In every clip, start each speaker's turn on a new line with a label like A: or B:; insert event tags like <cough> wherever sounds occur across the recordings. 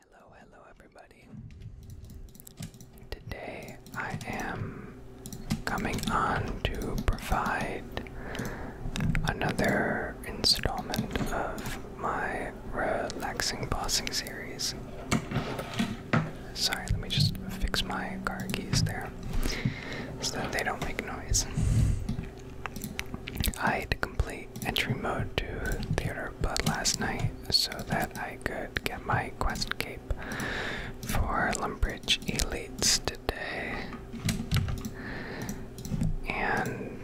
A: Hello, hello, everybody. Today I am coming on to provide another installment of my relaxing bossing series. Sorry, let me just fix my car keys there so that they don't make noise. I had to complete entry mode to Theater Vampire Blood last night so that I could get my quest cape for Lumbridge Elites today. And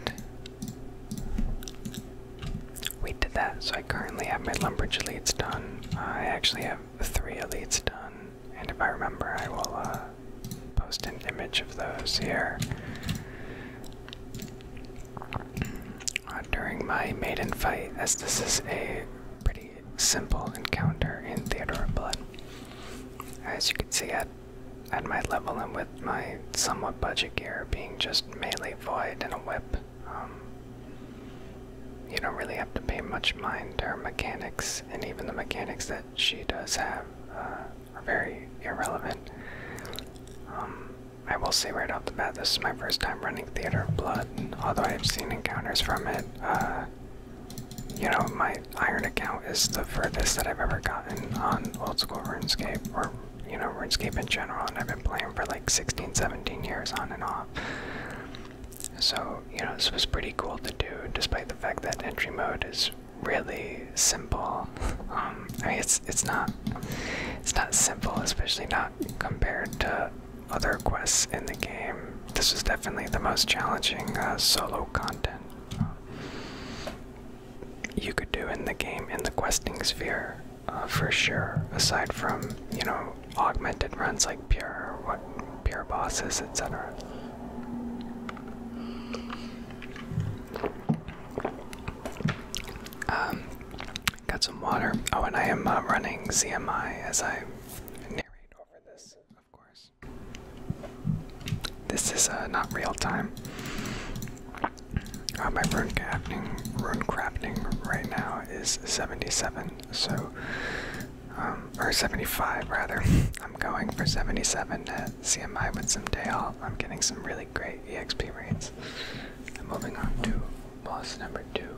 A: we did that, so I currently have my Lumbridge Elites done. I actually have three Elites done, and if I remember, I will uh, post an image of those here. Uh, during my maiden fight, as this is a pretty simple encounter in Theodora Blood. As you can see, at, at my level and with my somewhat budget gear being just melee void and a whip, um, you don't really have to pay much mind to her mechanics, and even the mechanics that she does have. Uh, are very irrelevant. Um, I will say right off the bat, this is my first time running Theater of Blood, although I've seen encounters from it. Uh, you know, my Iron account is the furthest that I've ever gotten on old school RuneScape, or, you know, RuneScape in general, and I've been playing for like 16, 17 years on and off. So, you know, this was pretty cool to do, despite the fact that entry mode is really simple. Um, it's it's not it's not simple, especially not compared to other quests in the game. This is definitely the most challenging uh, solo content uh, you could do in the game in the questing sphere, uh, for sure. Aside from you know augmented runs like pure what pure bosses, etc. Um, got some water. Oh, and I am uh, running CMI as I narrate over this, of course. This is uh, not real time. Uh, my rune crafting, rune crafting right now is 77, so, um, or 75 rather. <laughs> I'm going for 77 at CMI with some day off. I'm getting some really great EXP rates. And moving on to boss number two,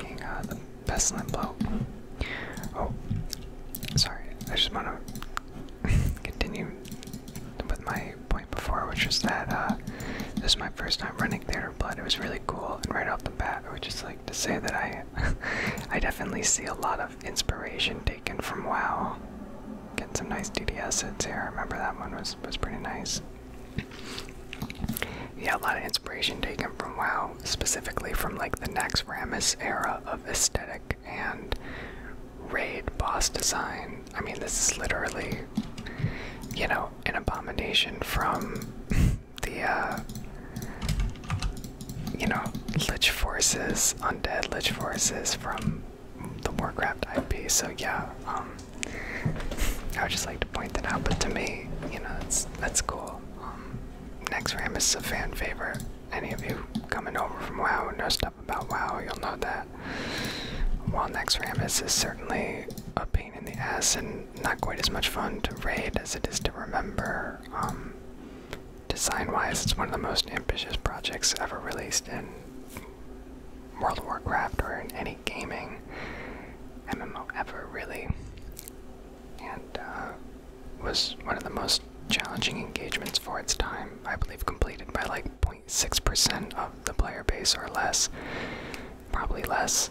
A: being uh, the Pestilent Blow. Oh, sorry, I just want to <laughs> continue with my point before, which is that uh, this is my first time running Theater of It was really cool, and right off the bat, I would just like to say that I, <laughs> I definitely see a lot of inspiration taken from WoW getting some nice DDS hits here. remember that one was was pretty nice. Yeah, a lot of inspiration taken from WoW, specifically from like the next Ramus era of aesthetic and raid boss design. I mean, this is literally, you know, an abomination from <laughs> the, uh, you know, Lich Forces, Undead Lich Forces from the Warcraft IP. So yeah, um, I would just like to point that out. But to me, you know, that's that's cool. Um, Next Ram is a fan favorite. Any of you coming over from WoW and know stuff about WoW, you'll know that. While Next Ram is certainly a pain in the ass and not quite as much fun to raid as it is to remember. Um, Design wise, it's one of the most ambitious projects ever released in World of Warcraft or any gaming MMO ever, really. And uh, was one of the most challenging engagements for its time, I believe completed by like 0.6% of the player base or less, probably less.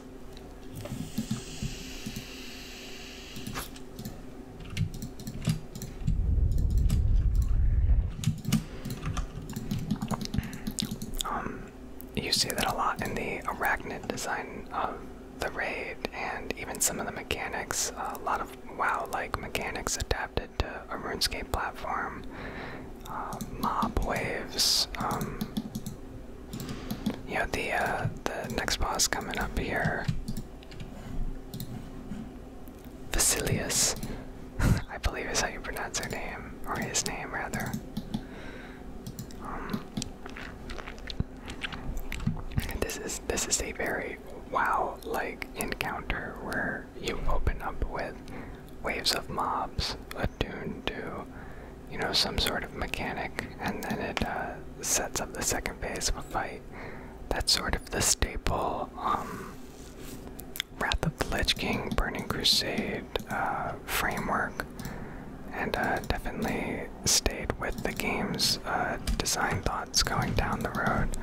A: Um, you see that a lot in the arachnid design of the raid, and even some of the mechanics. A lot of WoW-like mechanics adapted to a RuneScape platform. Uh, mob waves. Um, the uh, the next boss coming up here. Vasilius, <laughs> I believe is how you pronounce her name, or his name rather. Um, this is this is a very wow-like encounter where you open up with waves of mobs a attuned do you know, some sort of mechanic, and then it uh, sets up the second phase of a fight. That's sort of the staple um, Wrath of the Lich King, Burning Crusade uh, framework, and uh, definitely stayed with the game's uh, design thoughts going down the road.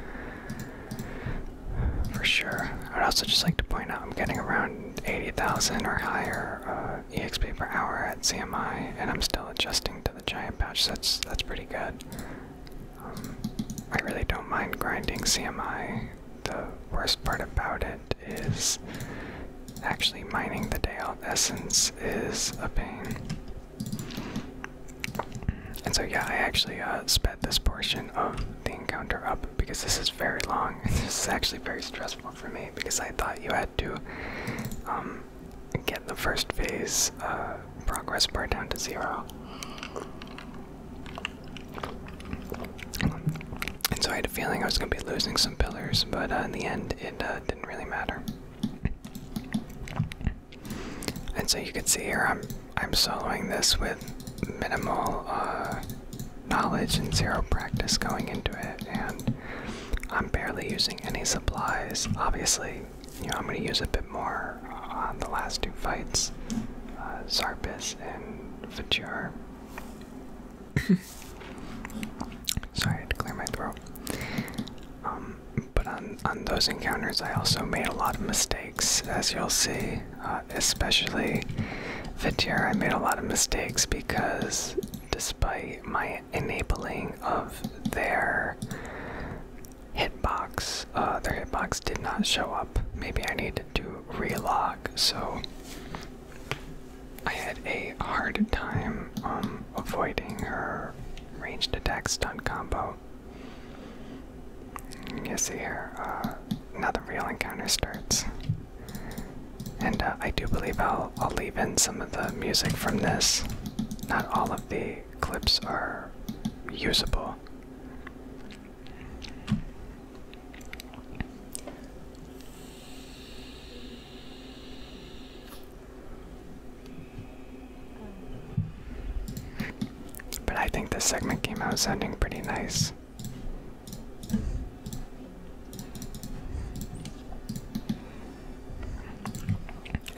A: For sure. I'd also just like to point out I'm getting around 80,000 or higher EXP per hour at CMI, and I'm still adjusting to the giant patch. that's that's pretty good. Um, I really don't mind grinding CMI the worst part about it is actually mining the day out essence is a pain. And so, yeah, I actually uh, sped this portion of the encounter up because this is very long and <laughs> this is actually very stressful for me because I thought you had to um, get the first phase uh, progress bar down to zero. And so I had a feeling I was going to be losing some pillars, but uh, in the end, it uh, didn't really matter. And so you can see here, I'm I'm soloing this with minimal uh, knowledge and zero practice going into it, and I'm barely using any supplies. Obviously, you know I'm going to use a bit more on the last two fights, uh, and Fajar. <coughs> Sorry, I had to clear my throat. Um, but on, on those encounters, I also made a lot of mistakes, as you'll see. Uh, especially Vitir, I made a lot of mistakes because despite my enabling of their hitbox, uh, their hitbox did not show up. Maybe I need had to relog, so I had a hard time um, avoiding her ranged attack stun combo. You see here, uh, now the real encounter starts. And uh, I do believe I'll, I'll leave in some of the music from this. Not all of the clips are usable. But I think this segment came out sounding pretty nice.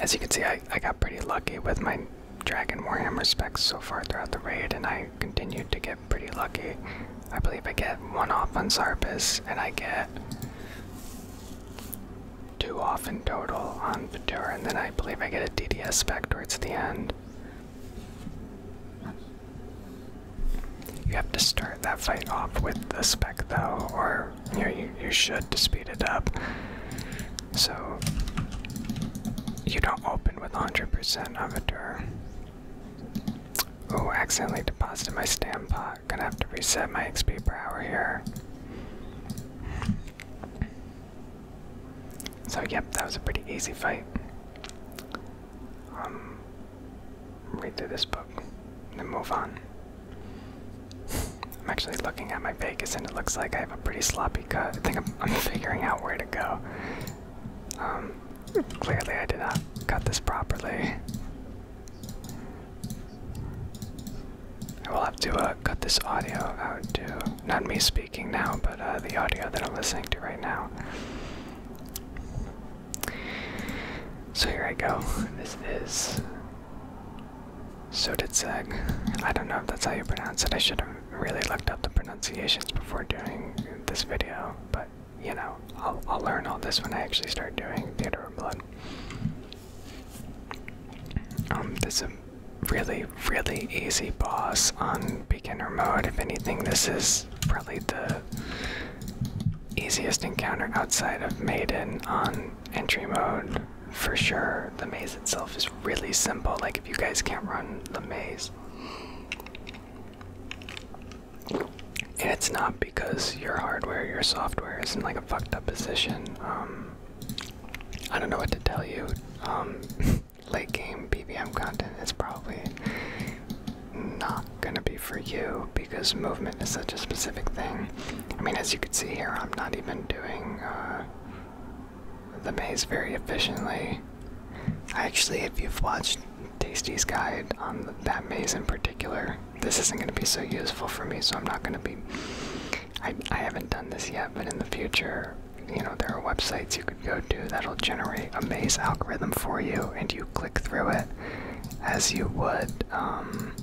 A: As you can see, I, I got pretty lucky with my Dragon Warhammer specs so far throughout the raid, and I continued to get pretty lucky. I believe I get one off on Zarpus, and I get two off in total on Ventura, and then I believe I get a DDS spec towards the end. You have to start that fight off with the spec though, or you, you, should to speed it up. So you don't open with 100% of a tour. Oh, accidentally deposited my stamp pot. Gonna have to reset my XP per hour here. So, yep, that was a pretty easy fight. Um, read through this book, and then move on. I'm actually looking at my Vegas, and it looks like I have a pretty sloppy cut. I think I'm, I'm <laughs> figuring out where to go. Um, Clearly, I did not cut this properly. I will have to uh, cut this audio out to not me speaking now, but uh, the audio that I'm listening to right now. So here I go. This is Seg. I don't know if that's how you pronounce it. I should have really looked up the pronunciations before doing this video, but you know, I'll, I'll learn all this when I actually start doing Theater of Blood. Um, this is a really, really easy boss on beginner mode. If anything, this is probably the easiest encounter outside of Maiden on entry mode for sure. The maze itself is really simple. Like, if you guys can't run the maze, and it's not because your hardware, your software is in like a fucked up position. Um, I don't know what to tell you. Um, <laughs> late game PVM content is probably not gonna be for you because movement is such a specific thing. I mean, as you can see here, I'm not even doing uh, the maze very efficiently. I actually, if you've watched Tasty's Guide on that maze in particular, this isn't going to be so useful for me, so I'm not going to be. I, I haven't done this yet, but in the future, you know, there are websites you could go to that'll generate a maze algorithm for you, and you click through it as you would um,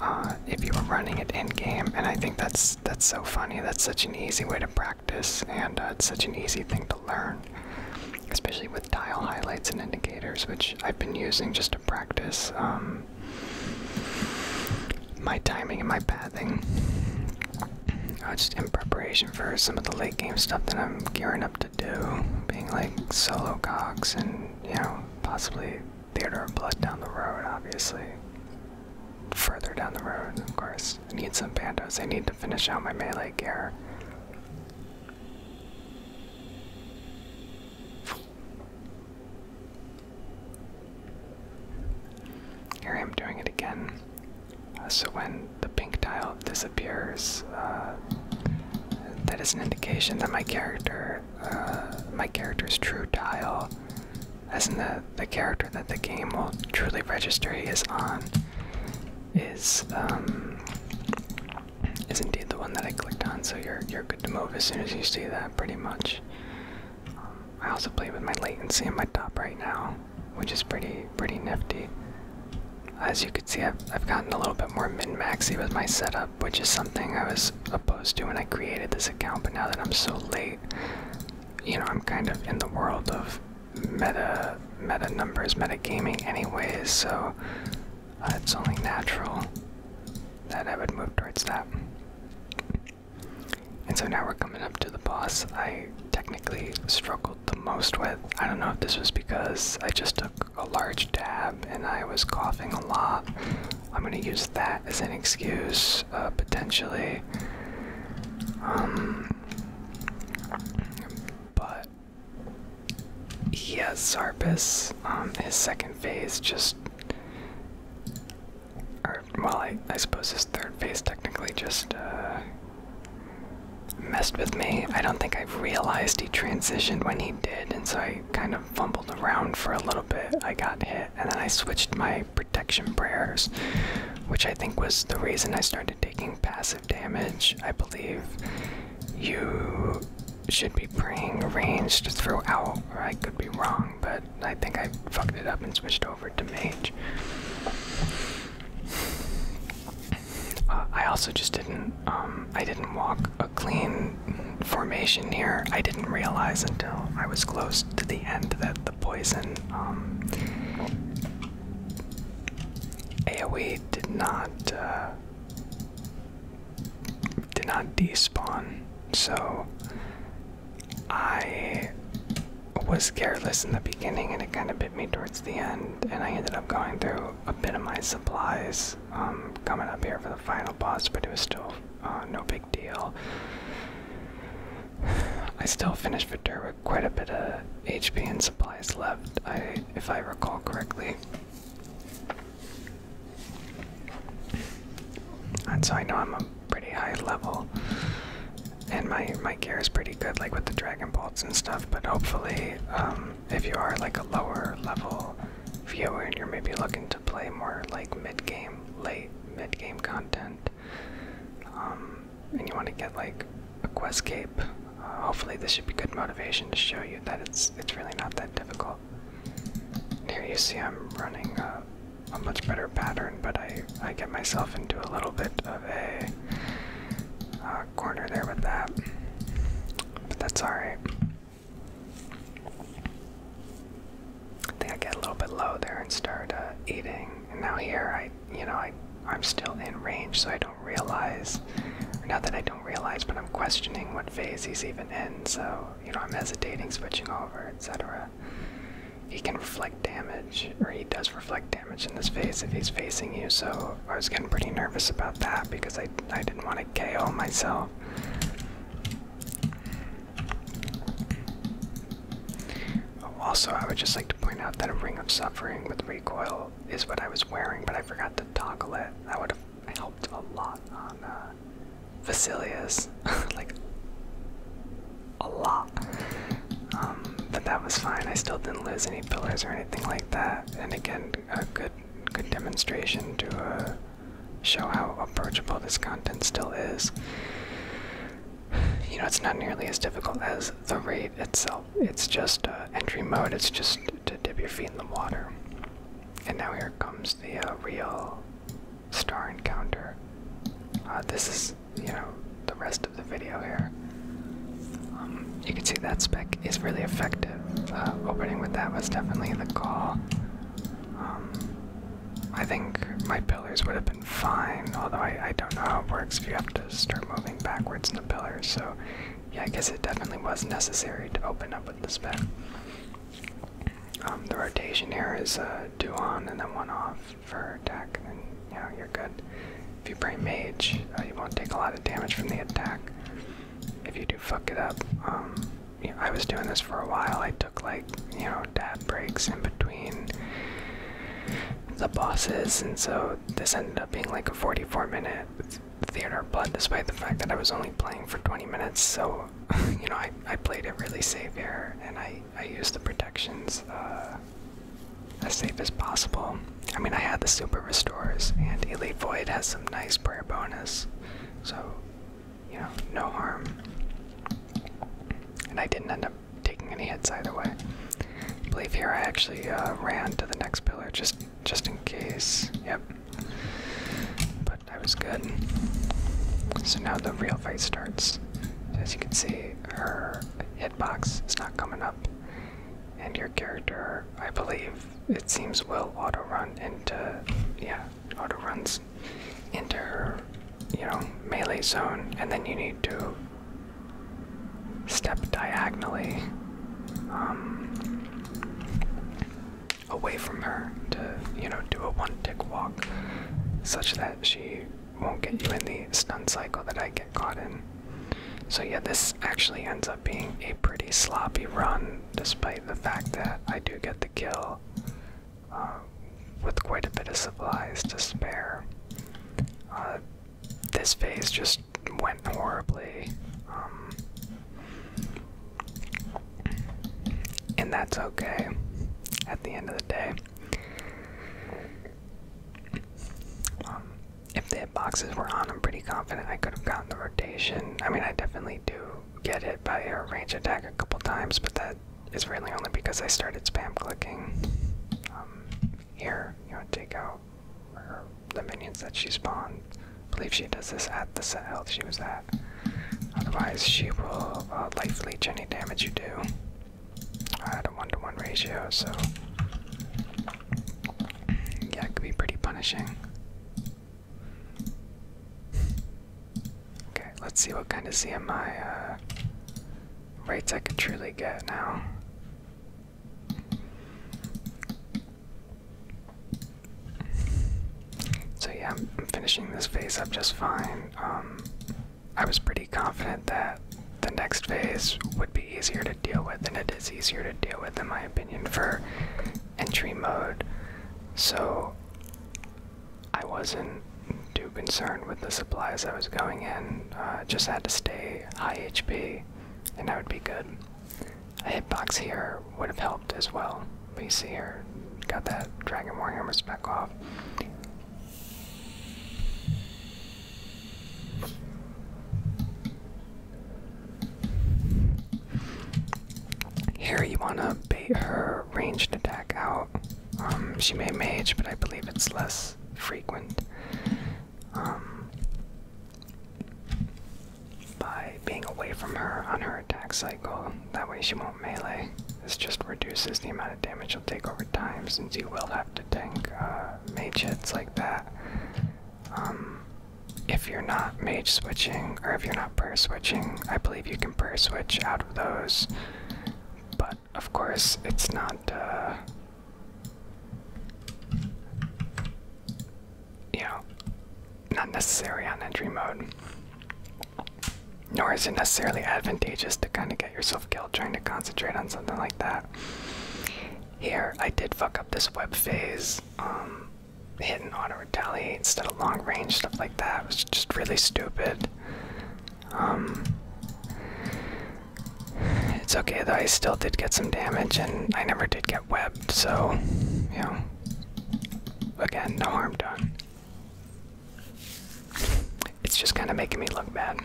A: uh, if you were running it in game. And I think that's that's so funny. That's such an easy way to practice, and uh, it's such an easy thing to learn especially with dial highlights and indicators, which I've been using just to practice um, my timing and my pathing. Uh, just in preparation for some of the late game stuff that I'm gearing up to do, being like solo cox and you know possibly theater of blood down the road, obviously. Further down the road, of course. I need some bandos. I need to finish out my melee gear. Here I am doing it again. Uh, so when the pink tile disappears, uh, that is an indication that my character, uh, my character's true tile, as in the, the character that the game will truly register he is on, is um, is indeed the one that I clicked on, so you're you're good to move as soon as you see that, pretty much. Um, I also play with my latency in my top right now, which is pretty pretty nifty. As you can see, I've, I've gotten a little bit more mid maxy with my setup, which is something I was opposed to when I created this account, but now that I'm so late, you know, I'm kind of in the world of meta meta numbers, meta gaming anyways, so uh, it's only natural that I would move towards that. And so now we're coming up to the boss I technically struggled the most with. I don't know if this was because I just took a large dab and I was coughing a lot. I'm gonna use that as an excuse, uh, potentially. Um, but he has Zarpus. Um, his second phase just, or well, I, I suppose his third phase technically just uh, messed with me. I don't think I realized he transitioned when he did, and so I kind of fumbled around for a little bit. I got hit, and then I switched my protection prayers, which I think was the reason I started taking passive damage, I believe you should be playing ranged throughout, I could be wrong, but I think I fucked it up and switched over to mage. Uh, I also just didn't, um, I didn't walk a clean formation here. I didn't realize until I was close to the end that the poison, um, AoE did not uh, did not despawn, so I was careless in the beginning and it kind of bit me towards the end, and I ended up going through a bit of my supplies um, coming up here for the final boss, but it was still uh, no big deal. <sighs> I still finished Vidur with quite a bit of HP and supplies left, I if I recall correctly. And so I know I'm a pretty high level and my my gear is pretty good like with the dragon bolts and stuff, but hopefully um if you are like a lower level viewer and you're maybe looking to play more like mid game, late mid game content, um and you want to get like a quest cape. Uh, hopefully, this should be good motivation to show you that it's it's really not that difficult. here you see I'm running a, much better pattern, but I I get myself into a little bit of a uh, corner there with that, but that's all right. I think I get a little bit low there and start uh, eating. And now here I, you know, I I'm still in range, so I don't realize. Not that I don't realize, but I'm questioning what phase he's even in, so, you know, I'm hesitating, switching over, etc. He can reflect damage, or he does reflect damage in this phase if he's facing you, so I was getting pretty nervous about that because I, I didn't want to KO myself. Also, I would just like to point out that a Ring of Suffering with recoil is what I was wearing, but I forgot to toggle it. That would have helped a lot on uh, Vasilius, <laughs> like a lot. Um, but that was fine. I still didn't lose any pillars or anything like that. And again, a good, good demonstration to uh, show how approachable this content still is. You know, it's not nearly as difficult as the raid itself. It's just uh, entry mode. It's just to dip your feet in the water. And now here comes the uh, real star encounter. Uh, this is, you know, the rest of the video here. Um, you can see that spec is really effective. Uh, opening with that was definitely the call. Um, I think my pillars would have been fine, although I, I don't know how it works if you have to start moving backwards in the pillars, so yeah, I guess it definitely was necessary to open up with this bet. Um, the rotation here is two uh, on and then one off for attack, and you know, you're good. If you play mage, uh, you won't take a lot of damage from the attack. If you do fuck it up, um, I was doing this for a while. I took like you know dad breaks in between the bosses, and so this ended up being like a 44 minute theater blood despite the fact that I was only playing for 20 minutes. So, <laughs> you know, I, I played it really safe here and I, I used the protections uh, as safe as possible. I mean, I had the super restores and Elite Void has some nice prayer bonus. So, you know, no harm. And I didn't end up taking any hits either way. believe here I actually uh, ran to the next pillar just just in case. Yep. But I was good. So now the real fight starts. As you can see, her hitbox is not coming up. And your character, I believe, it seems will auto run into, yeah, auto runs into her, you know, melee zone, and then you need to step diagonally um, away from her to, you know, do a one tick walk such that she won't get you in the stun cycle that I get caught in. So, yeah, this actually ends up being a pretty sloppy run, despite the fact that I do get the kill uh, with quite a bit of supplies to spare. Uh, this phase just went horribly. Um, and that's okay at the end of the day. Um, if the boxes were on, I'm pretty confident I could have gotten the rotation. I mean, I definitely do get hit by a range attack a couple times, but that is really only because I started spam clicking. Um, here, you want to take out the minions that she spawned. I believe she does this at the set health she was at. Otherwise, she will uh, likely take any damage you do at a one to one ratio, so yeah, it could be pretty punishing. Okay, let's see what kind of CMI uh, rates I could truly get now. So yeah, I'm finishing this phase up just fine. Um, I was pretty confident that the next phase would be easier to deal with, and it is easier to deal with, in my opinion, for entry mode. So I wasn't too concerned with the supplies I was going in. Uh, just had to stay high HP, and that would be good. A hitbox here would have helped as well. But you see here, got that Dragon War Hammer off. Here you wanna bait her ranged attack out. Um, she may mage, but I believe it's less frequent. Um, by being away from her on her attack cycle. That way she won't melee. This just reduces the amount of damage you'll take over time since you will have to tank uh, mage hits like that. Um, if you're not mage switching, or if you're not prayer switching, I believe you can prayer switch out of those. But of course, it's not. Uh, you know, not necessary on entry mode. Nor is it necessarily advantageous to kind of get yourself killed trying to concentrate on something like that. Here, I did fuck up this web phase, um, hit and auto retaliate instead of long range, stuff like that. It was just really stupid. Um, it's okay though, I still did get some damage, and I never did get webbed, so, you know, again, no harm done. It's just kind of making me look bad.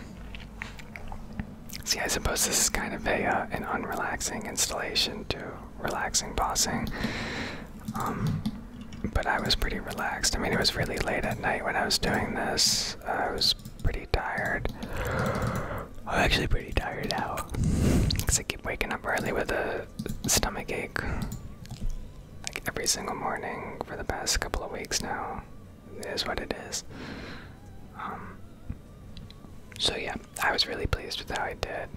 A: See, I suppose this is kind of a uh, an unrelaxing installation to relaxing bossing. Um, but I was pretty relaxed. I mean, it was really late at night when I was doing this. I was pretty tired. I'm actually pretty tired out because I keep waking up early with a stomach ache like every single morning for the past couple of weeks now. Is what it is. Um, so yeah, I was really pleased with how I did.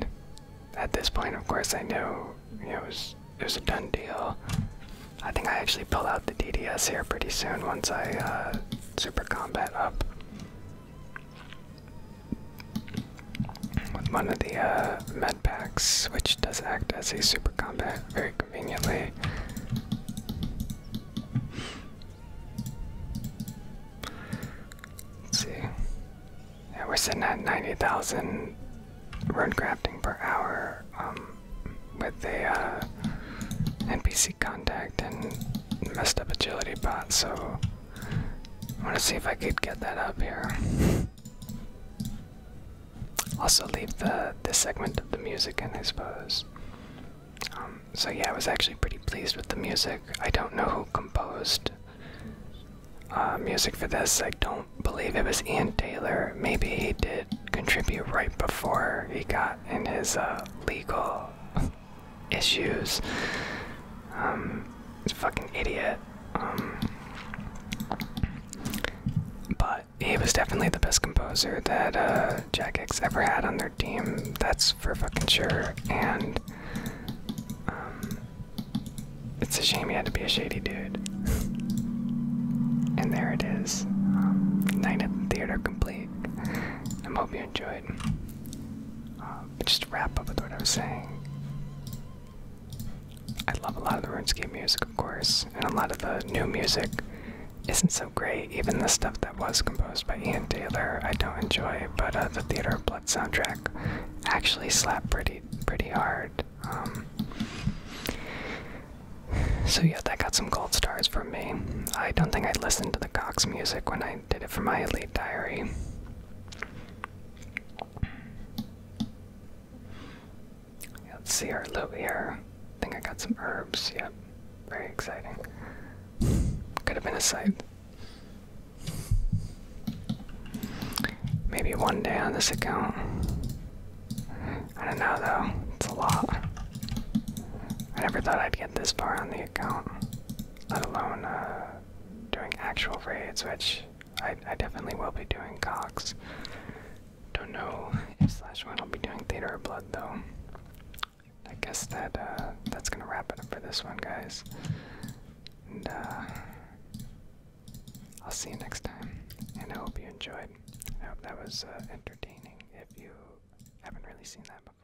A: At this point, of course, I knew know, it was it was a done deal. I think I actually pull out the DDS here pretty soon once I uh, super combat up with one of the uh, med packs, which does act as a super combat very conveniently. see. we're sitting at 90,000 road crafting per hour um, with the uh, NPC contact and messed up agility bot, so I want to see if I could get that up here. Also leave the this segment of the music in, I suppose. Um, so yeah, I was actually pretty pleased with the music. I don't know who composed uh, music for this. I don't believe it was Ian Taylor. Maybe he did contribute right before he got in his uh, legal issues. Um, he's a fucking idiot. Um, but he was definitely the best composer that uh, Jack X ever had on their team. That's for fucking sure. And um, it's a shame he had to be a shady dude. and there it is. Night at the Theater complete. I hope you enjoyed. Uh, um, just wrap up with what I was saying, I love a lot of the RuneScape music, of course, and a lot of the new music isn't so great. Even the stuff that was composed by Ian Taylor, I don't enjoy. But uh, the Theater of Blood soundtrack actually slapped pretty, pretty hard. Um, so yeah, that got some gold stars from me. I don't think I listened to the Cox music when I did it for my Elite Diary. Let's see our loot here. I think I got some herbs. Yep. Very exciting. Could have been a sight. Maybe one day on this account. I don't know though. It's a lot. I never thought I'd get this far on the account, let alone uh, doing actual raids, which I, definitely will be doing Cox. Don't know if Slash One will be doing Theater or Blood though. I guess that uh, that's gonna wrap it up for this one, guys. And uh, I'll see you next time. And I hope you enjoyed. I hope that was uh, entertaining. If you haven't really seen that before.